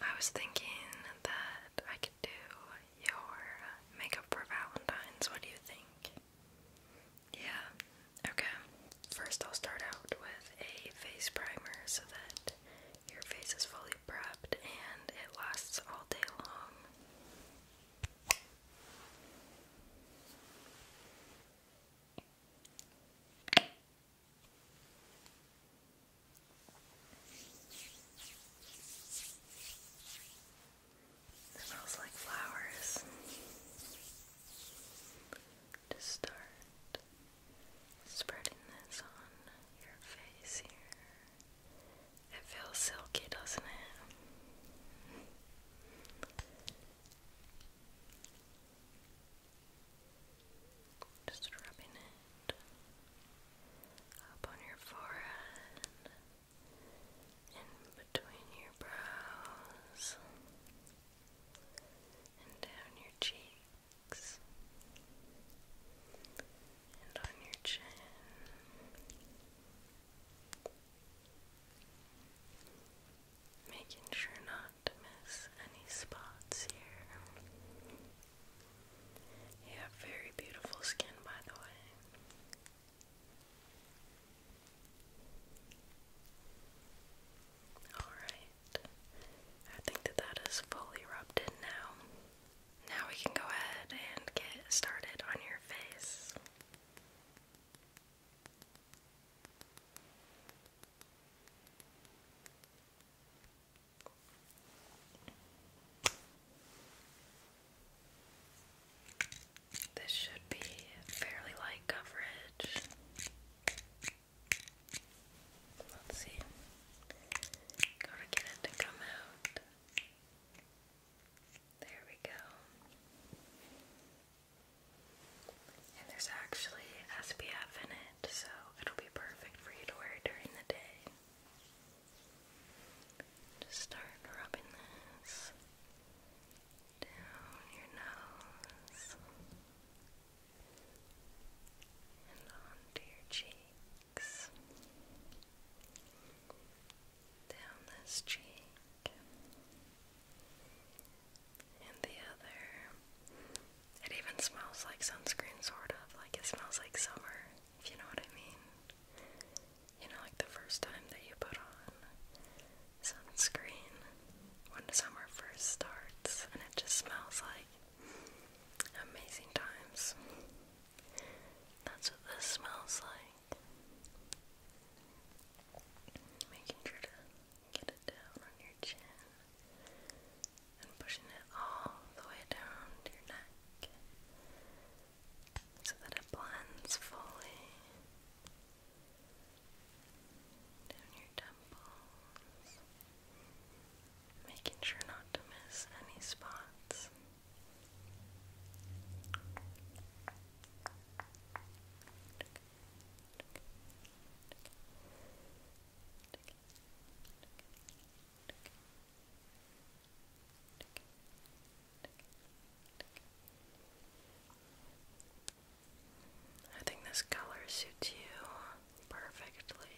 I was thinking that I could do your makeup for Valentine's. What do you think? Yeah, okay. First, I'll start out with a face primer so that your face is fully prepped and it lasts all day long. It smells like flowers to start spreading this on your face here. It feels silky, doesn't it? Just rubbing it up on your forehead, in between your brows, and down your cheeks, and on your chin. Making sure not to miss any spots here. You have very beautiful skin, by the way. Alright. I think that that is fully rubbed in now. Now we can go ahead and get started on your face. This should be fairly light coverage. Let's see. Gotta get it to come out. There we go. And there's actually SPF in it, so it'll perfect for you to wear during the day. Just start rubbing this down your nose and onto your cheeks, down this cheek and the other. It even smells like sunscreen, sort of. Like it smells like summer, if you know what I mean. You know, like the first time that you put on sunscreen when summer first starts, and it just smells like amazing times. That's what this smells like. Making sure to get it down on your chin and pushing it all the way down to your neck so that it blends fully down your temples, making sure not to miss any spots. I think this color suits you perfectly.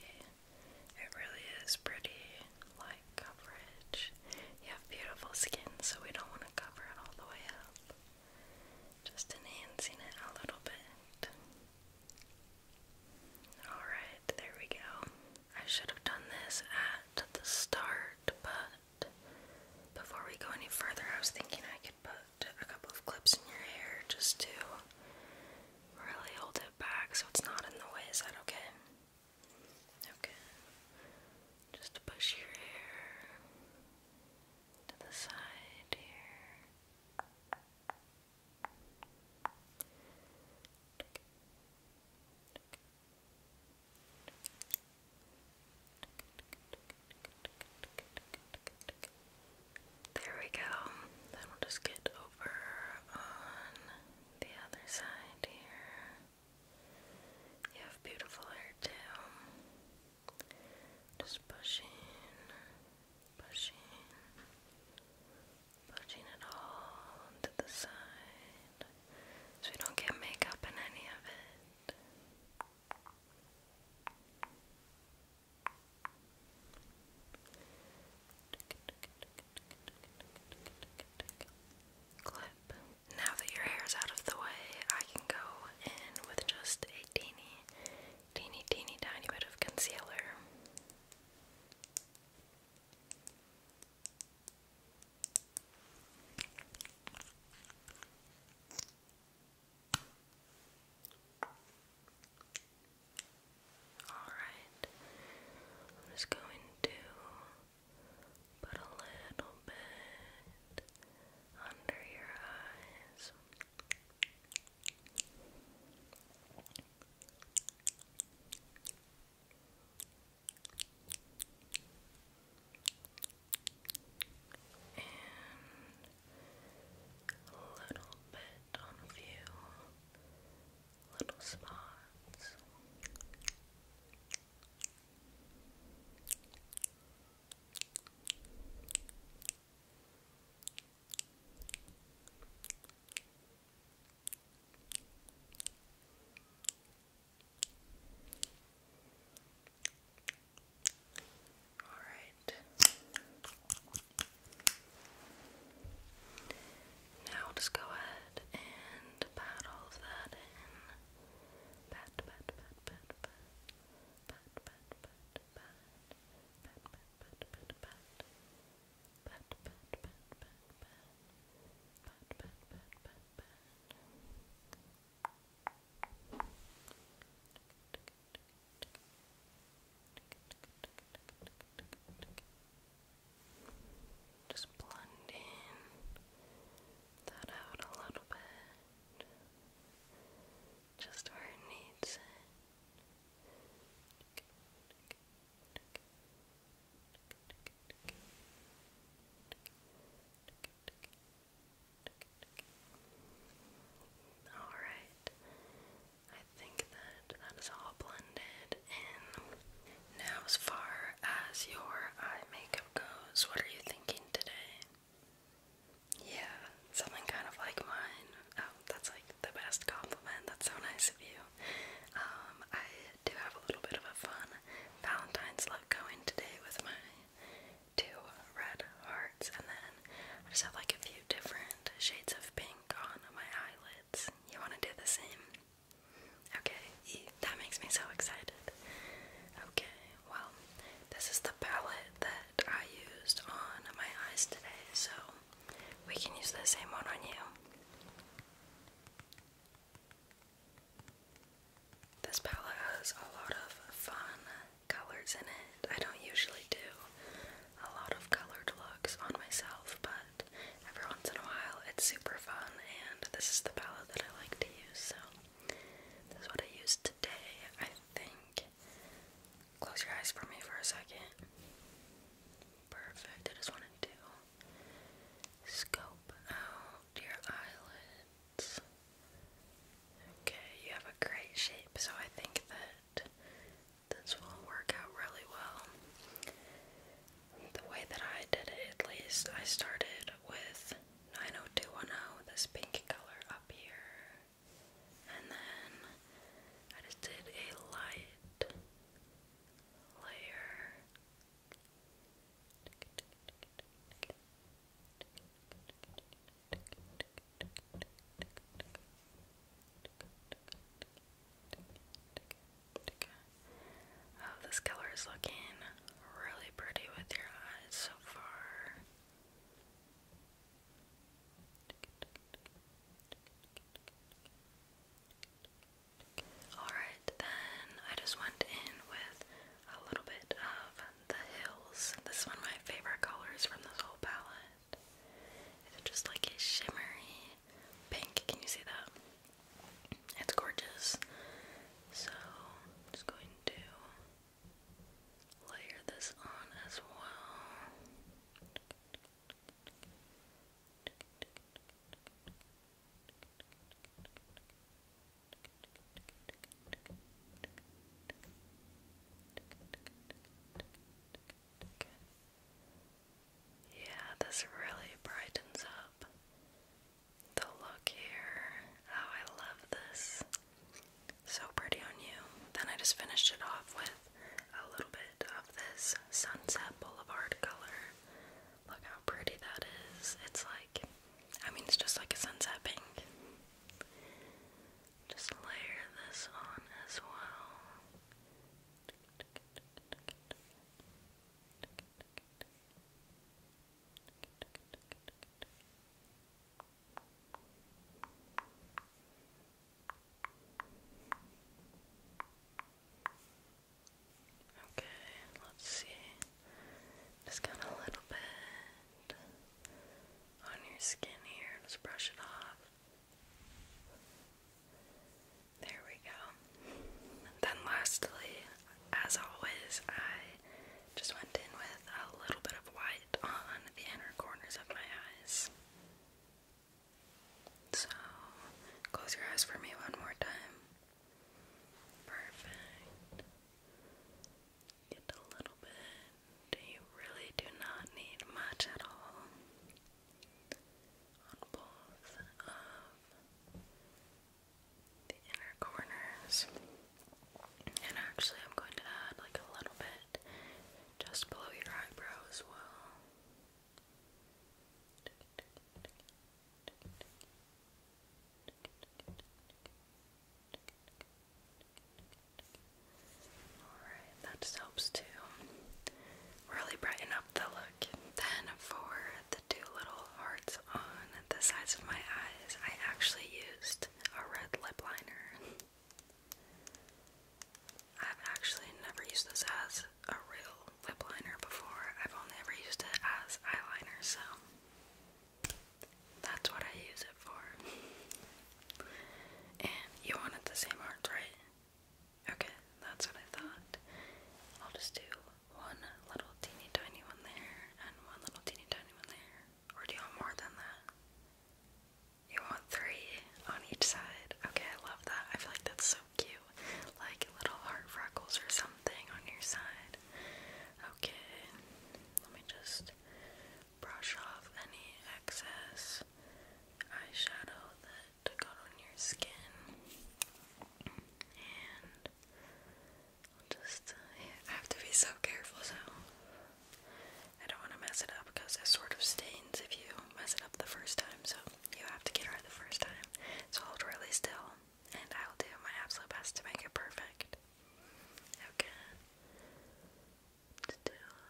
It really is pretty light coverage. You have beautiful skin, so we don't want to cover it all the way up. Just enhancing it a little bit. Alright, there we go. I should have done this at the start, but before we go any further, I was thinking I could put a couple of clips in your hair just to really hold it back so it's not in the way. Is that okay? Okay. Just push your hair to the side here. There we go. Then we'll just get over on the other side here. You have beautiful hair too. Just pushing, pushing, pushing it all to the side so we don't get makeup in any of it. Clip. Now that your hair is out of the way, I can go in with just a teeny, teeny, teeny tiny bit of concealer. Alright, I'm just going to put a little bit under your eyes. And a little bit on a few little spots. And all right. Now just go ahead and pat all of that in. pat, pat, pat, pat, pat, pat, pat, pat, pat, pat, pat, pat, pat, pat, pat, pat, pat, pat, Just blend that out a little bit, just where it needs it. All right. I think that that is all blended in. Now, as far as your eye makeup goes, what are you thinking today? Yeah, something kind of like mine. Oh, that's like the best compliment. That's so nice of you. Um, I do have a little bit of a fun Valentine's look going today with my two red hearts, and then I just have like a few different shades of pink on my eyelids. You want to do the same? Okay, that makes me so excited. Okay, well, this is the palette that I used on my eyes today, so we can use the same one on you. This palette has a lot of fun colors in it. I don't usually do a lot of colored looks on myself, but every once in a while it's super fun, and this is the palette that I like to use, so this is what I used today, I think. Close your eyes for me for a second. Perfect. I just want to scope out your eyelids. Okay, you have a great shape, so I think that this will work out really well. The way that I did it, at least, I started with 90210, this pink color up here, and then I just did a light layer. Oh, this color is looking really pretty with your eyes so far. Alright, then I just went in with a little bit of the hills. This is one of my favorite colors from this whole palette. It's just like a shimmery pink. Can you see that? It's gorgeous. So just going to layer this on as well. Yeah, this really brightens up the look here. Oh, I love this. So pretty on you. Then I just finished it off with a little bit of this Sunset Boulevard color. Look how pretty that is. It's like, I mean, it's just like a sunset pink. Just layer this on as well. Okay, let's see. Just got a little bit on your skin here. Just brush it off. There we go. then lastly, as always, I just went in with a little bit of white on the inner corners of my eyes. So, close your eyes for me one more time. Perfect. Just a little bit. You really do not need much at all on both of the inner corners. And actually, I'm going to add like a little bit just below your eyebrow as well that helps to really brighten up the look. Then for the two little hearts on the sides of my eyes, I actually used a red lip liner. I've actually never used this as a real lip liner before. I've only ever used it as eyeliner, so that's what I use it for. And you wanted the same art, right? Okay, that's what I thought. I'll just do one little teeny tiny one there and one little teeny tiny one there. Or do you want more than that? You want three on each side? Okay, I love that. I feel like that's so cute. Like little heart freckles or something on your side. Okay, let me just brush off any excess eyeshadow that got on your skin. And I'll just, I have to be so careful, so I don't want to mess it up because it sort of stains if you mess it up the first time, so you have to get it right the first time. So hold really still, and I'll do my absolute best to make it perfect. Okay. Still,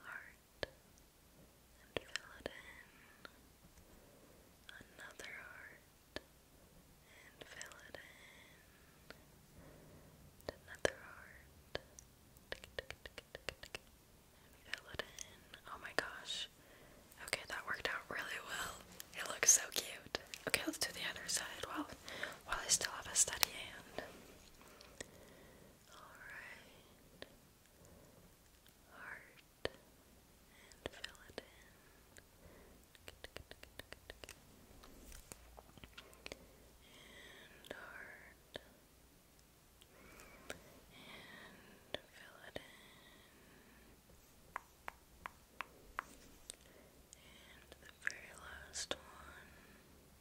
heart, and fill it in. Another heart, and fill it in. Another heart. Fill it in. Oh my gosh. Okay, that worked out really well. It looks so cute. Okay, let's do the other side while while I still have a steady hand. Alright. Heart. And fill it in. And heart and fill it in. And the very last one.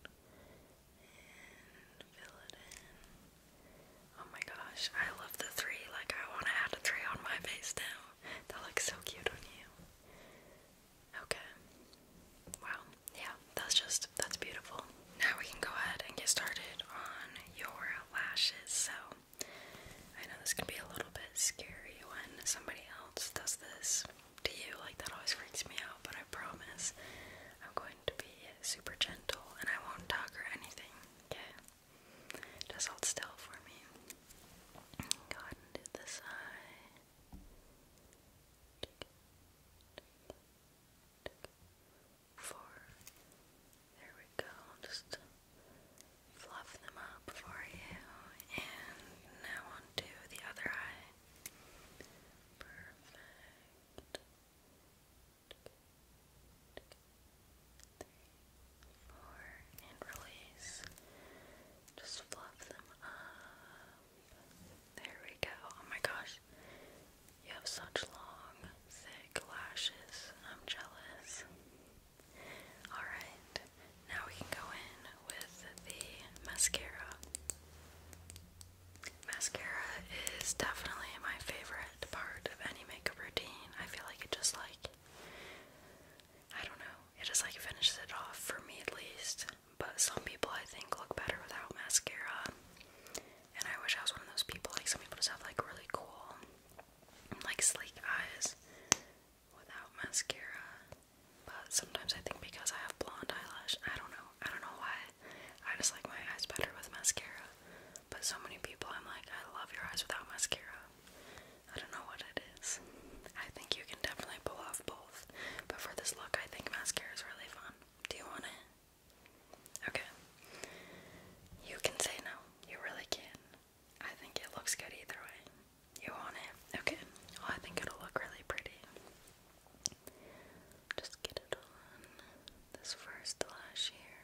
And fill it in. Oh my gosh, I love the three. Like, I want to add a three on my face now. That looks so cute on you. Okay. Wow yeah, that's just that's beautiful. Now we can go ahead and get started on your lashes. So I know this can be a little bit scary when somebody else does this to you, like that always freaks me out, but I promise I'm going to be super gentle and I won't talk or anything. Okay. Just hold still for me. Go ahead and do four. There we go. just fluff them up for you. And now onto the other eye. Perfect. Three, four, and release. Just fluff them up. There we go. Oh my gosh. You have such long, thick lashes. I'm jealous. Alright, now we can go in with the mascara. Mascara is definitely my favorite part of any makeup routine. I feel like it just like I don't know. It just like finishes it off for me at least. But some people I think look better without mascara. And I wish I was one of those people. Like some people just have like really cool, like sleek eyes without mascara. But sometimes I think because I have blonde eyelash, I don't know. I don't know why. I just like my eyes better with mascara. But so many people, I'm like, I love your eyes without mascara. I don't know what it is. I think you can definitely pull off both. But for this look, I think mascara is really fun. Do you want it? Okay. You can say no. You really can. I think it looks good either way. You want it? Okay. I think it'll look really pretty. Just get it on this first lash here.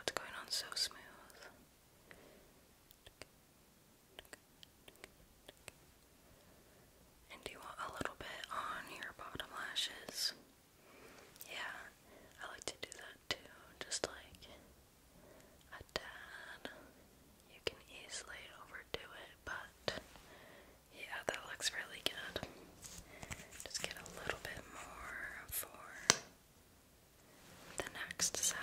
It's going on so smooth. And do you want a little bit on your bottom lashes? Yeah, I like to do that too, just like a tad. You can easily overdo it, but yeah, that looks really good. Just get a little bit more for the next sign.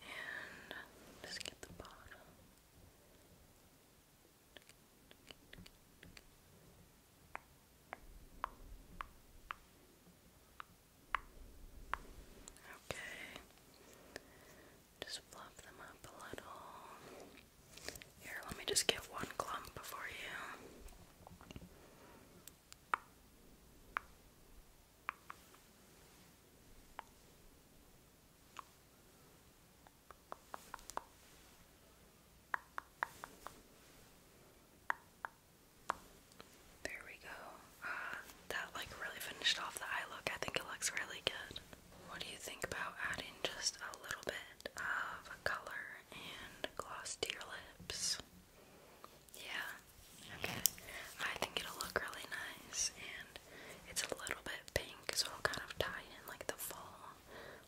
And just get the bottom. Okay. Just fluff them up a little. Here, let me just get one clump before you. There we go. Ah, that like really finished off the eye look. I think it looks really good. What do you think about adding just a little bit of color and gloss to your lips? Yeah. Okay. I think it'll look really nice and it's a little bit pink, so I'll kind of tie in like the fall,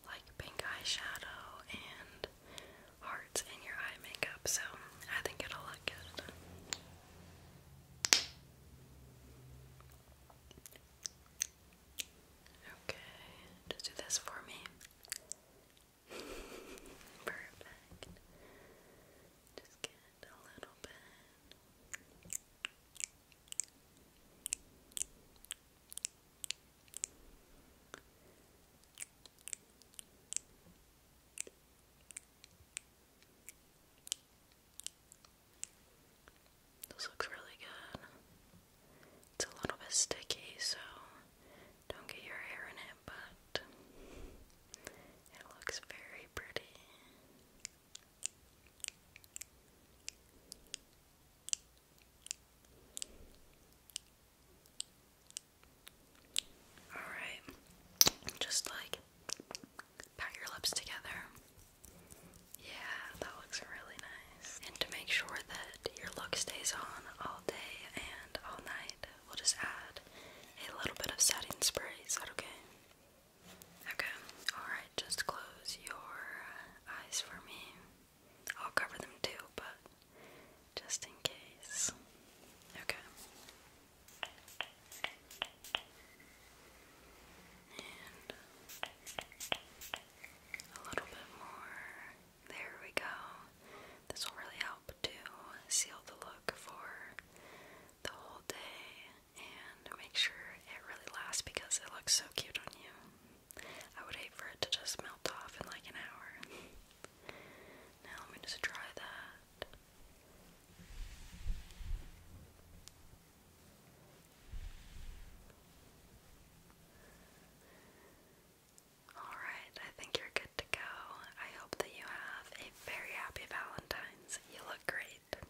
like pink eyeshadow and hearts in your eye makeup. So I think it'll look good. Okay, just do this for me. Perfect. Just get a little bit. This looks really good. It's a little bit sticky, so don't get your hair in it, but it looks very pretty. All right, just like pat your lips together. Yeah, that looks really nice. And to make sure that your look stays on all day and all night, we'll just add a little bit of setting spray. Is that okay? Okay, alright, just close your eyes for me. I'll cover them too, but just in case. Okay. And a little bit more. There we go. This will really help to seal the look for the whole day and make sure it really lasts because it looks so cute on you. I would hate for it to just melt off in like an hour. now let me just try that. Alright, I think you're good to go. I hope that you have a very happy Valentine's. You look great.